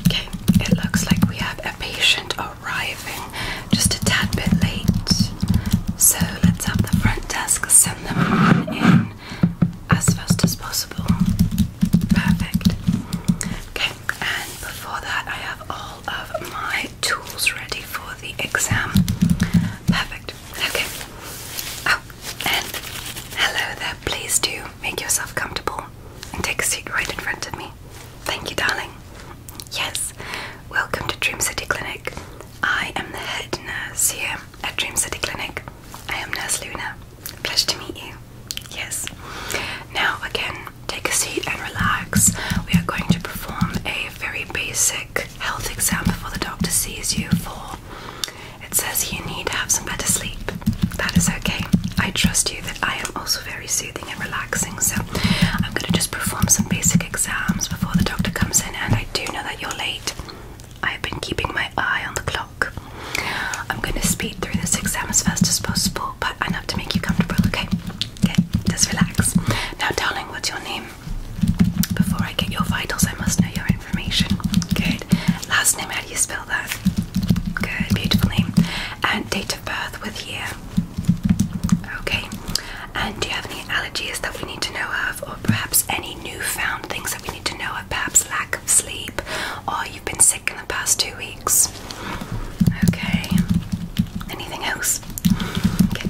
Okay, it looks like we have a patient arriving just a tad bit late. So let's have the front desk send them on in as fast as possible. Perfect. Okay, and before that, I have all of my tools ready for the exam. Perfect. Okay. Oh, and hello there. Please do Make yourself comfortable and take a seat right in front of me. Thank you, darling. Yes, welcome to Dream City Clinic. I am the head nurse here at Dream City Clinic. I am Nurse Luna. Pleasure to meet you. Yes. Now, again, take a seat and relax. We are going to perform a very basic health exam before the doctor sees you for. It says you need to have some better sleep. That is okay. I trust you that I am also very soothing and relaxing. So I'm going to just perform some basic exams before the doctor comes in. And I do know that you're late. I've been keeping my eye on the clock. I'm going to speed through this exam as fast as possible, but enough to make you comfortable, okay? Okay, just relax. Now, darling, what's your name? Before I get your vitals, I must know your information. Good. Last name, how do you spell? fill that. Good, beautiful name, And date of birth with year. Okay. And do you have any allergies that we need to know of, or perhaps any new found things that we need to know of? Perhaps lack of sleep, or you've been sick in the past two weeks? Okay. Anything else? Okay.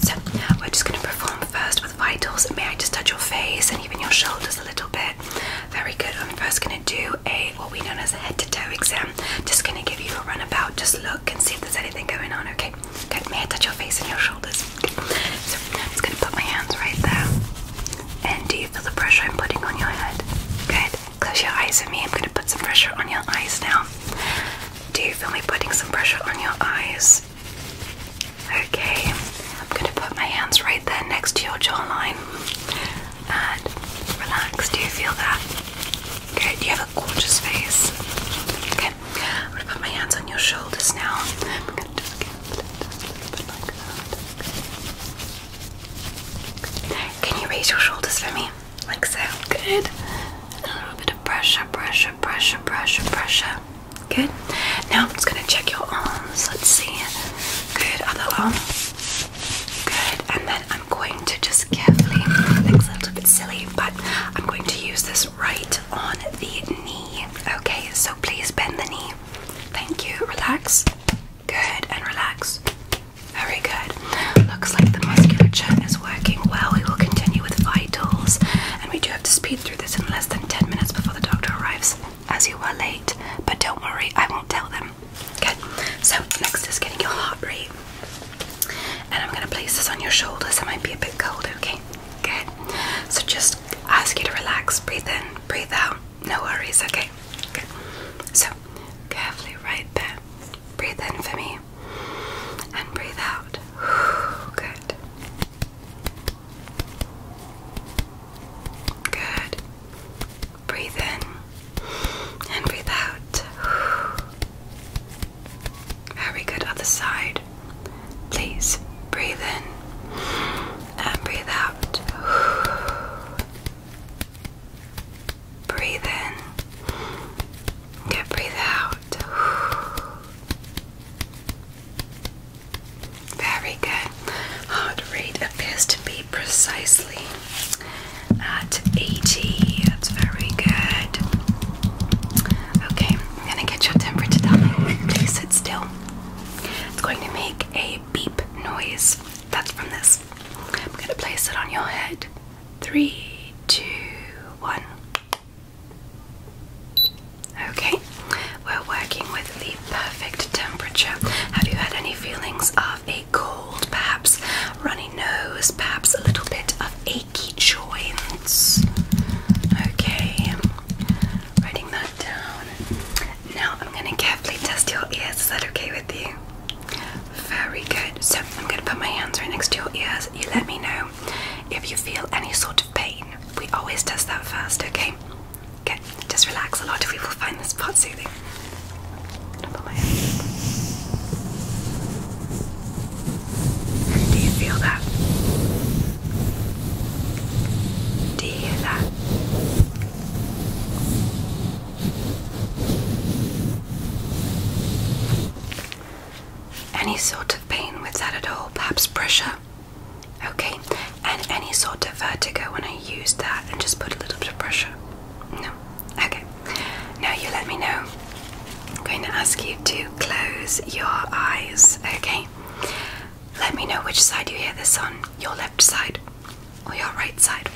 So we're just going to perform first with vitals. May I just touch your face and even your shoulders a little bit? Very good. I'm first going to do a what we know as a head to toe exam. Just going to give you a runabout. Just look and see if there's anything going on. Okay. Get me I your face and your shoulders? So I'm just going to put my hands right there. And do you feel the pressure I'm putting on your head? Good. Close your eyes at me. I'm going to put some pressure on your eyes now. Do you feel me putting some pressure on your eyes? Okay, I'm going to put my hands right there next to your jawline and relax. Do you feel that? Good, you have a gorgeous face. Okay, I'm going to put my hands on your shoulders now. Can you raise your shoulders for me? Like so. Good. A little bit of pressure, pressure, pressure, pressure, pressure. Good. Now I'm just going to check your arms. Let's see. Good. Other arm. Good. And then I'm going to just carefully, it's a little bit silly, but I'm going to use this right on the knee. Okay, so please bend the knee. Thank you. Relax. Good. And relax. Very good. Looks like the musculature is working well. We will continue with vitals, and we do have to speed through this in less than 10 minutes before the doctor arrives as you were late, but don't worry, I won't tell them. Good. So, next is getting your heart rate. And I'm going to place this on your shoulders. It might be a bit cold, okay? Good. So, just ask you to relax, breathe in, breathe out. No worries, okay? Good. So, carefully right there. Breathe in for me and breathe out. Good. Good. Breathe in and breathe out. Very good. Other side. Please breathe in and breathe out. Breathe in. Good. Breathe out. Very good. Heart rate appears to be precisely at 80. That's very good. Okay, I'm gonna get your temperature down. Please sit still. It's going to make a beep noise. That's from this. I'm gonna place it on your head. Three, two, one. Okay, we're working with the perfect temperature. Have you had any feelings of a cold, perhaps runny nose, perhaps a little bit of achy joints? Okay, writing that down. Now I'm going to carefully test your ears. Is that okay with you? Very good. So I'm going to put my hands right next to your ears. You let me know if you feel any sort of pain. We always test that first, okay? Okay, just relax. A lot We will find this part soothing. Do you feel that? Do you hear that? Any sort of pain with that at all, perhaps pressure, Okay, and any sort of vertigo when I use that and just put a little bit of pressure? No? Okay, now you let me know. I'm going to ask you to close your eyes, okay? Let me know which side you hear this on your left side or your right side.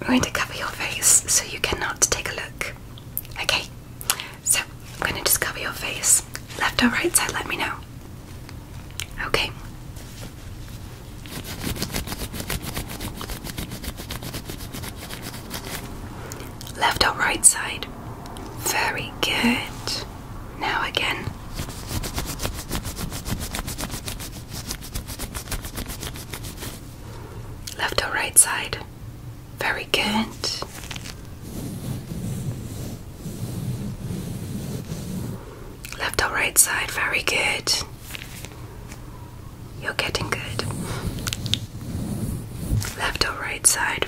I'm going to cover your face so you cannot take a look. Okay, so I'm gonna just cover your face. Left or right side, let me know. Okay. Left or right side. Very good. Now again. Left or right side. Very good. Left or right side, very good. You're getting good. Left or right side,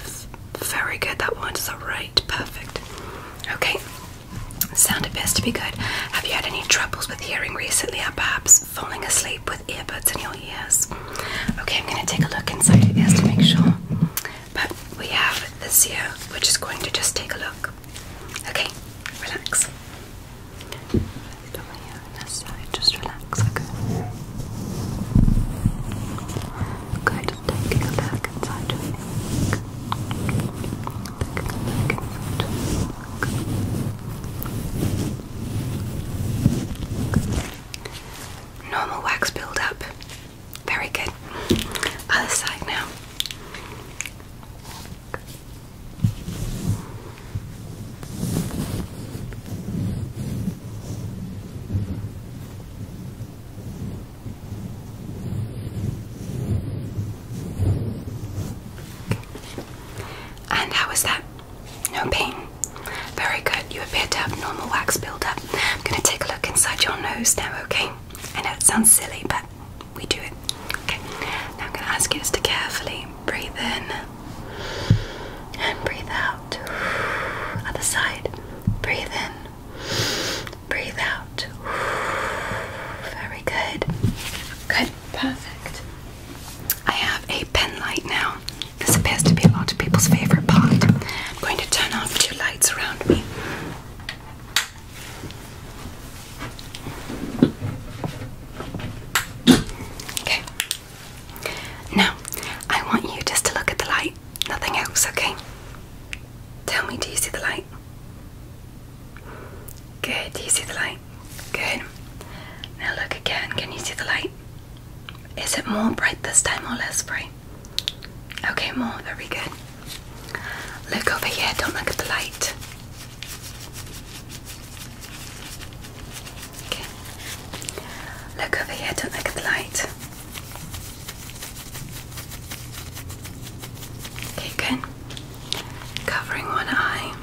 very good. That one is alright, perfect. Okay, Sounded best to be good. Have you had any troubles with hearing recently, or perhaps falling asleep with earbuds in your know Okay, I'm gonna take a look inside Yes, to make sure. But we have this here, we're just going to just take a look. Okay, relax. Just over here on this side, just relax, okay. Good, taking a look inside Normal wax build up. Very good. Other side now. And how was that? No pain. Very good. You appear to have normal wax buildup. I'm going to take a look inside your nose now, okay? I know it sounds silly, but we do it. Okay. Now I'm going to ask you to carefully breathe in and breathe out. Other side. Breathe in. Breathe out. Very good. Good. Perfect. I have a pen light now. This appears to be a lot of people's favorite part. I'm going to turn off two lights around me. Okay. Now, I want you just to look at the light, nothing else, okay? Tell me, do you see the light? Good, do you see the light? Good. Now look again, can you see the light? Is it more bright this time or less bright? Okay, more. Very good. Look over here. Don't look at the light. Okay. Look over here. Don't look at the light. Okay, good. Covering one eye.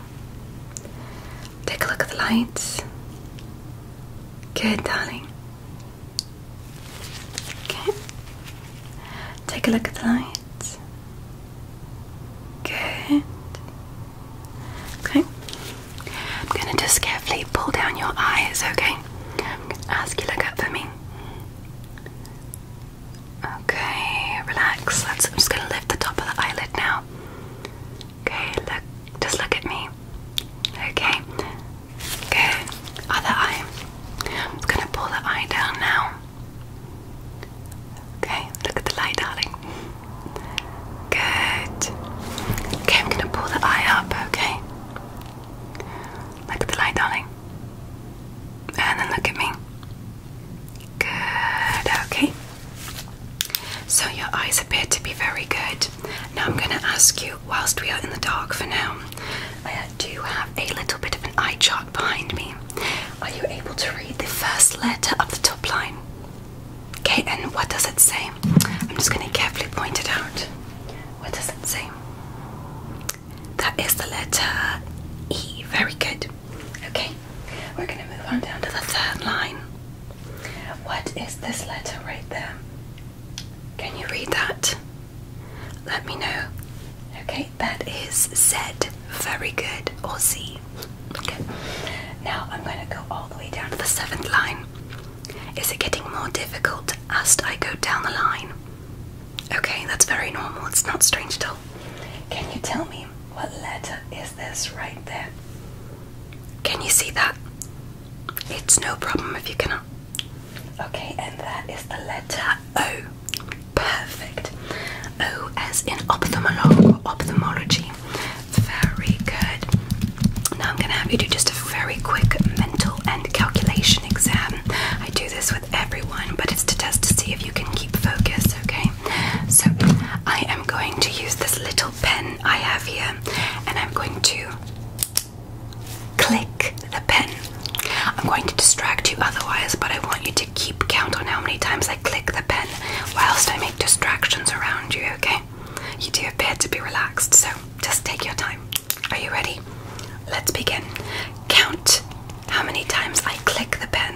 Take a look at the lights. Good, darling. Okay. Take a look at the lights. Good. Okay. I'm gonna just carefully pull down your eyes, okay? I'm gonna ask you to look up for me. Okay, relax. I'm just gonna lift the top of the eyelid now. Okay, look, just look at me. Okay, good. Other eye. I'm gonna pull the eye down now. Okay, look at the light, darling. Good. Okay, I'm gonna pull the eye up, okay? Look at the light, darling. And then look at me. Good, okay. So your eyes appear to be very good. Now I'm going to ask you, whilst we are in the dark for now, I uh, do have a little bit of an eye chart behind me. Are you able to read the first letter of the top line? Okay, and what does it say? I'm just going to carefully point it out. What does it say? That is the letter E. Very good. Okay, we're going to move on down to the third line. What is this letter right there? Can you read that? Let me know. Okay, that is Z. Very good. Or Z. Okay. Now I'm going to go all the way down to the seventh line. Is it getting more difficult as I go down the line? Okay, that's very normal. It's not strange at all. Can you tell me what letter is this right there? Can you see that? It's no problem if you cannot. Okay, and that is the letter O. Perfect. O as in ophthalmology. Very good. Now I'm going to have you do just a very quick mental and calculation exam. I do this with everyone, but it's to test to see if you can keep focus, okay? so I am going to use this little pen I have here and I'm going to click the pen. I'm going to distract you otherwise, but I want you to keep count on how many times I click the pen whilst I make distractions around you, okay? You do appear to be relaxed, so just take your time. Are you ready? Let's begin. Count how many times I click the pen.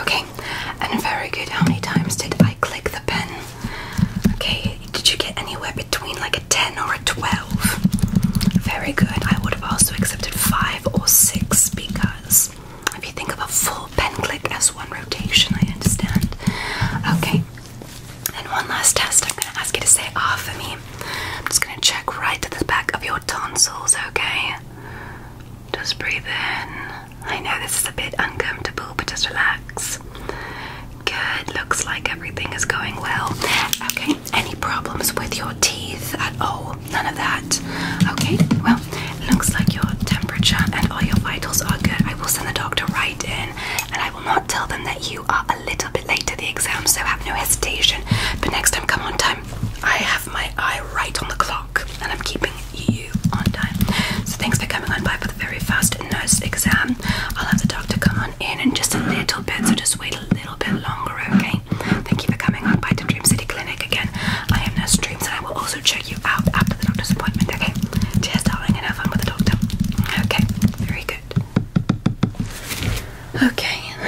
Okay, and very good. How many times did I click the pen? Okay, did you get anywhere between like a 10 or a 12? Very good. I would have also accepted 5 or 6 because if you think of a full pen click as one rotation, I understand. Okay, and one last test. I'm going to ask you to say "ah" for me. I'm just going to check right at the back of your tonsils, okay? Just breathe in. I know this is a bit uncomfortable, but just relax. Good. Looks like everything is going well. Okay. Any problems with your teeth at all? None of that. Okay. Well, looks like your temperature and all your vitals are good. I will send the doctor right in, and I will not tell them that you are a little bit late to the exam, so have no hesitation. But next time, come on time. I have my eye right on the clock and I'm keeping you on time. So thanks for coming on by for the very first nurse exam. I'll have the doctor come on in in just a little bit, so just wait a little bit longer, okay? Thank you for coming on by to Dream City Clinic again. I am Nurse Dreams and I will also check you out after the doctor's appointment, okay? Cheers, darling, and have fun with the doctor. Okay, very good. Okay.